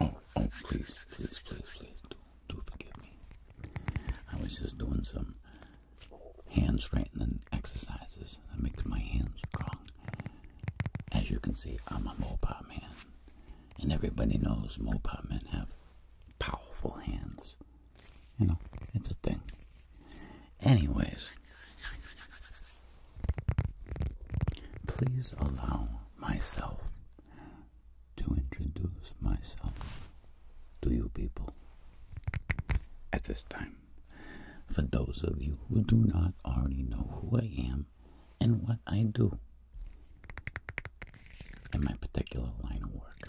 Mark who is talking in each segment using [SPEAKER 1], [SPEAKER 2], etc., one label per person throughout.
[SPEAKER 1] Oh, oh, please, please, please, please, do, do forgive me. I was just doing some hand straightening exercises that makes my hands strong. As you can see, I'm a Mopar man, and everybody knows Mopar men have powerful hands. You know, it's a thing. Anyways, Please allow myself to introduce myself to you people at this time. For those of you who do not already know who I am and what I do in my particular line of work,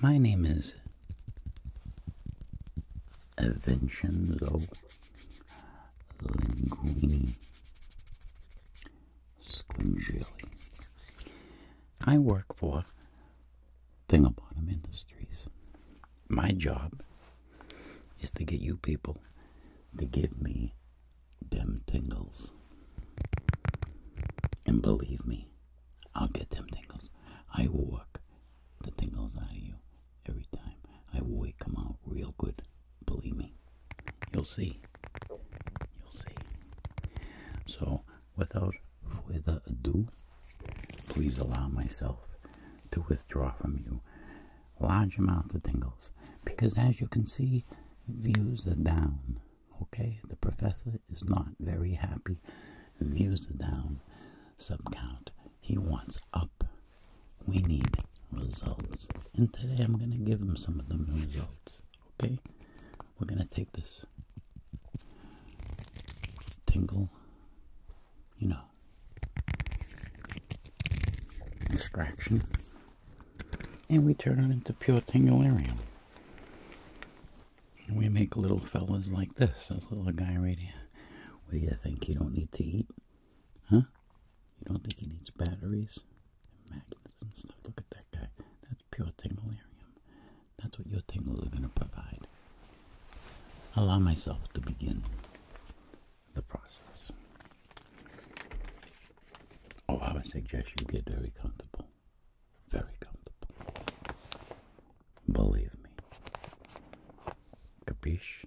[SPEAKER 1] my name is Vincenzo linguine, squingeli. I work for Thingabotum Industries. My job is to get you people to give me them tingles. And believe me, I'll get them tingles. I will work the tingles out of you every time. I will come out real good. Believe me. You'll see. You'll see. So, without further ado, please allow myself to withdraw from you large amounts of tingles because, as you can see, views are down. Okay, the professor is not very happy. Views are down. Sub count he wants up. We need results. And today I'm going to give him some of the results. Okay? We're going to take this tingle, you know, extraction, and we turn it into pure tingularium. And we make little fellas like this, this little guy right here. What do you think? He don't need to eat? Huh? You don't think he needs batteries and magnets and stuff? Look at that guy. That's pure tinglearium. That's what your tingles are going to provide. Allow myself to begin the process. Oh, I would suggest you get very comfortable. Very comfortable. Believe me. Capiche?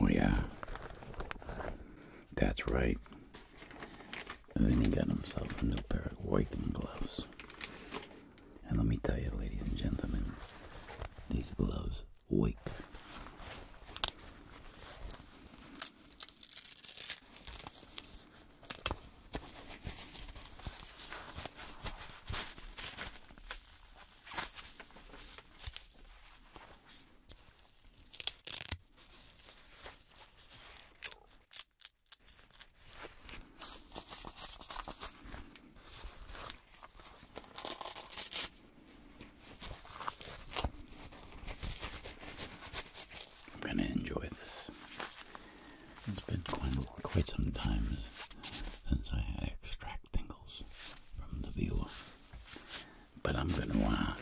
[SPEAKER 1] Oh, yeah. That's right. And then he got himself a new pair of working gloves. And let me tell you, ladies and gentlemen, these gloves wake. I'm going to enjoy this. It's been quite, some time since I had extract tingles from the viewer. But I'm gonna uh,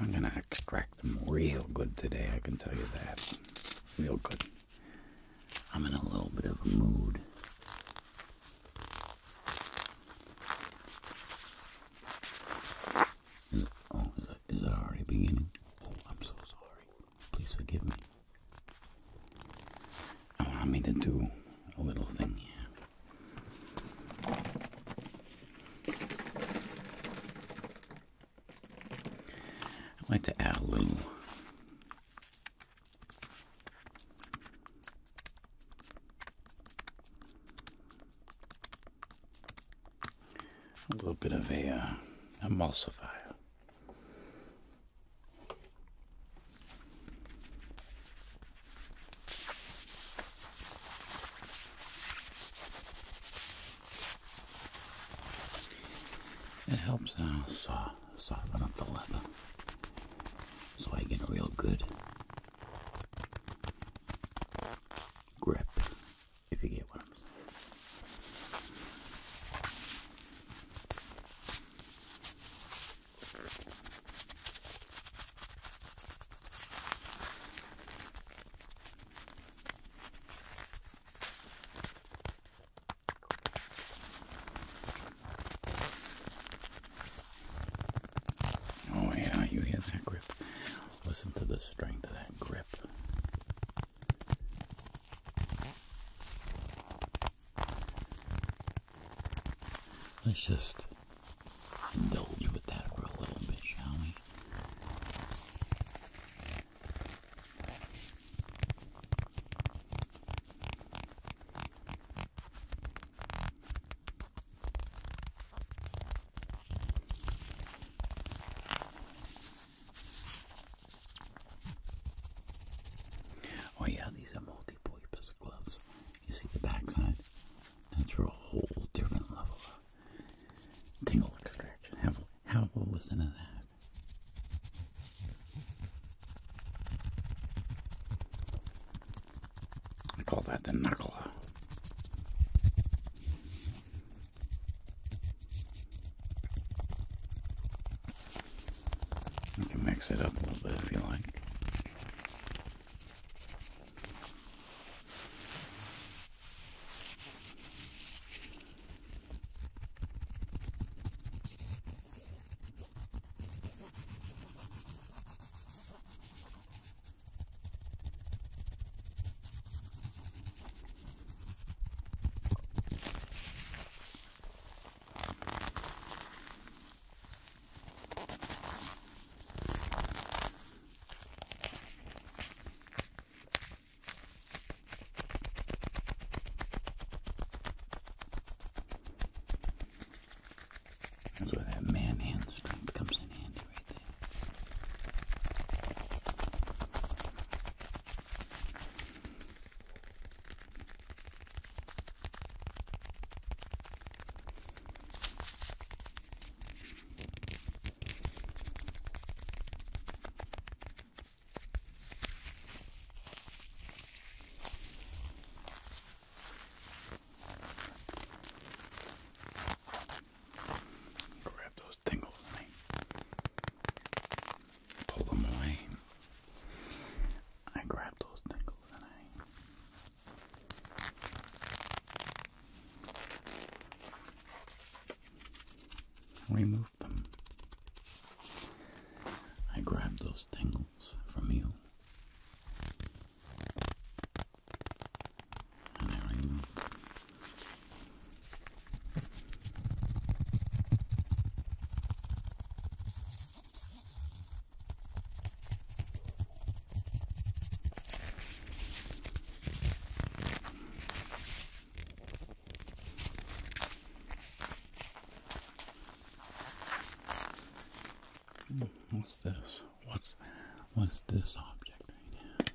[SPEAKER 1] I'm gonna extract them real good today. I can tell you that, real good. I'm in a little bit of a mood. oh, is it, is already beginning? Oh, I'm so sorry. Please forgive me. I want me to do a little thing here. I'd like to add a little a little bit of a uh, emulsifier it helps uh, saw, soften up the leather so I get a real good grip, if you get what I'm saying. Oh, yeah, you hear that grip. Listen to the strength of that grip. Let's just indulge with that for a little bit, shall we? Oh yeah, these are multi-purpose gloves. You see the backside? That's for a whole different level of tingle extraction. Have how what was into that? I call that the knuckle. You can mix it up a little bit if you like. That's where that man hand strength comes in handy right there. Grab those tingles, man pull them away. I grabbed those tingles and I removed them. I grabbed those tingles from you. And I removed Mm, what's this? What's what's this object right here?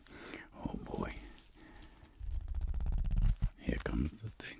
[SPEAKER 1] Oh boy. Here comes the thing.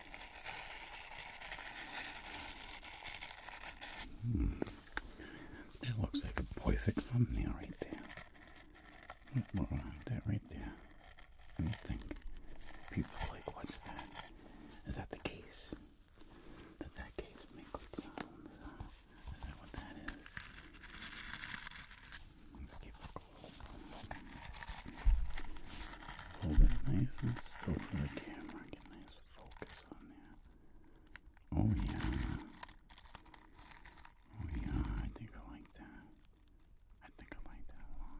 [SPEAKER 1] Hmm. That looks like a perfect thumbnail right there. Look what that right there. And you think people are like, what's that? Is that the case? Did that case make good sounds? Is that what that is? Let's keep it cool. Hold it nice and still for the camera. Get nice focus on there. Oh yeah. Oh yeah, I think I like that. I think I like that a lot.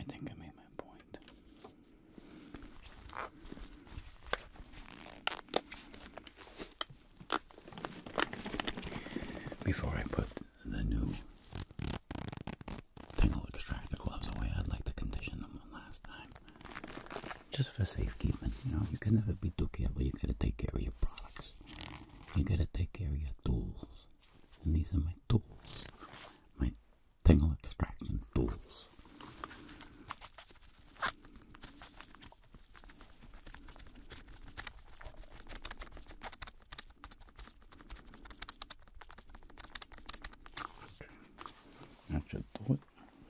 [SPEAKER 1] I think I made my point. Before I put the new thing, I'll extract the gloves away, I'd like to condition them one last time just for safekeeping. You know, you can never be too careful. You gotta take care of your products. You gotta take care of your tools. And these are my tools, my tingle extraction tools. That should do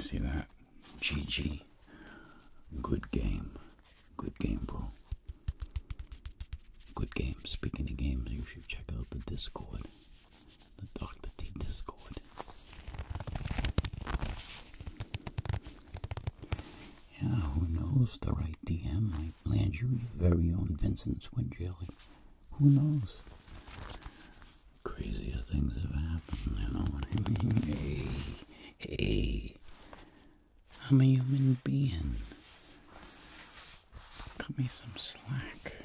[SPEAKER 1] See that? GG. Good game. Good game, bro. Good game. Speaking of games, you should check out the Discord. The Dr. T Discord. Yeah, who knows? The right DM might land you your very own Vincent Swinjelly. Who knows? Crazier things have happened, you know Hey, hey, I'm a human being. Cut me some slack.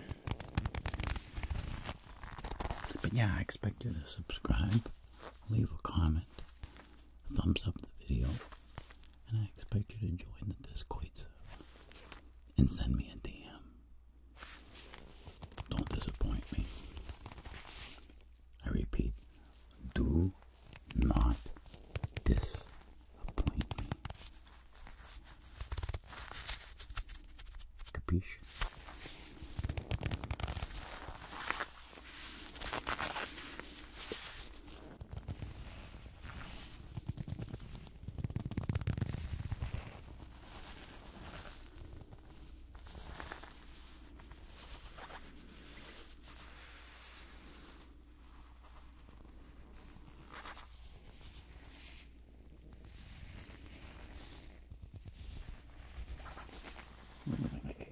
[SPEAKER 1] But yeah, I expect you to subscribe, leave a comment, thumbs up the video, and I expect you to join the Discord server and send me a DM. Don't disappoint me. I repeat, do not disappoint me. Capiche? Let me make my case.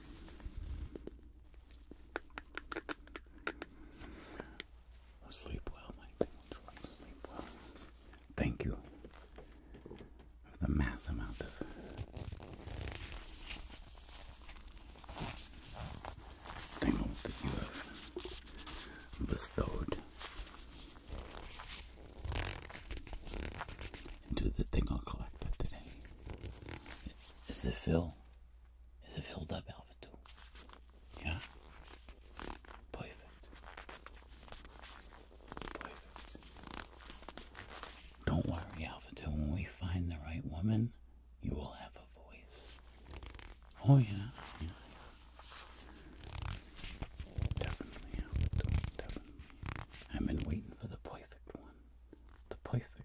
[SPEAKER 1] Sleep well, my children. Sleep well. Thank you the math amount of things that you have bestowed and do the thing I'll collect today. Is it filled? Is it filled up, Alpha 2? Yeah? Perfect. Perfect. Don't worry, Alpha When we find the right woman, you will have a voice. Oh, yeah. Definitely, Alpha Definitely. I've been waiting for the perfect one the perfect one.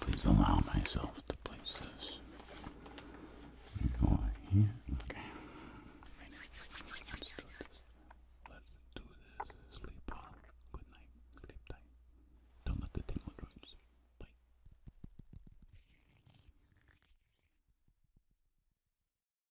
[SPEAKER 1] Please allow myself to place this. here. Okay. Let's do this. Let's do this. Sleep well. Good night. Sleep tight. Don't let the tingle drops. Bye.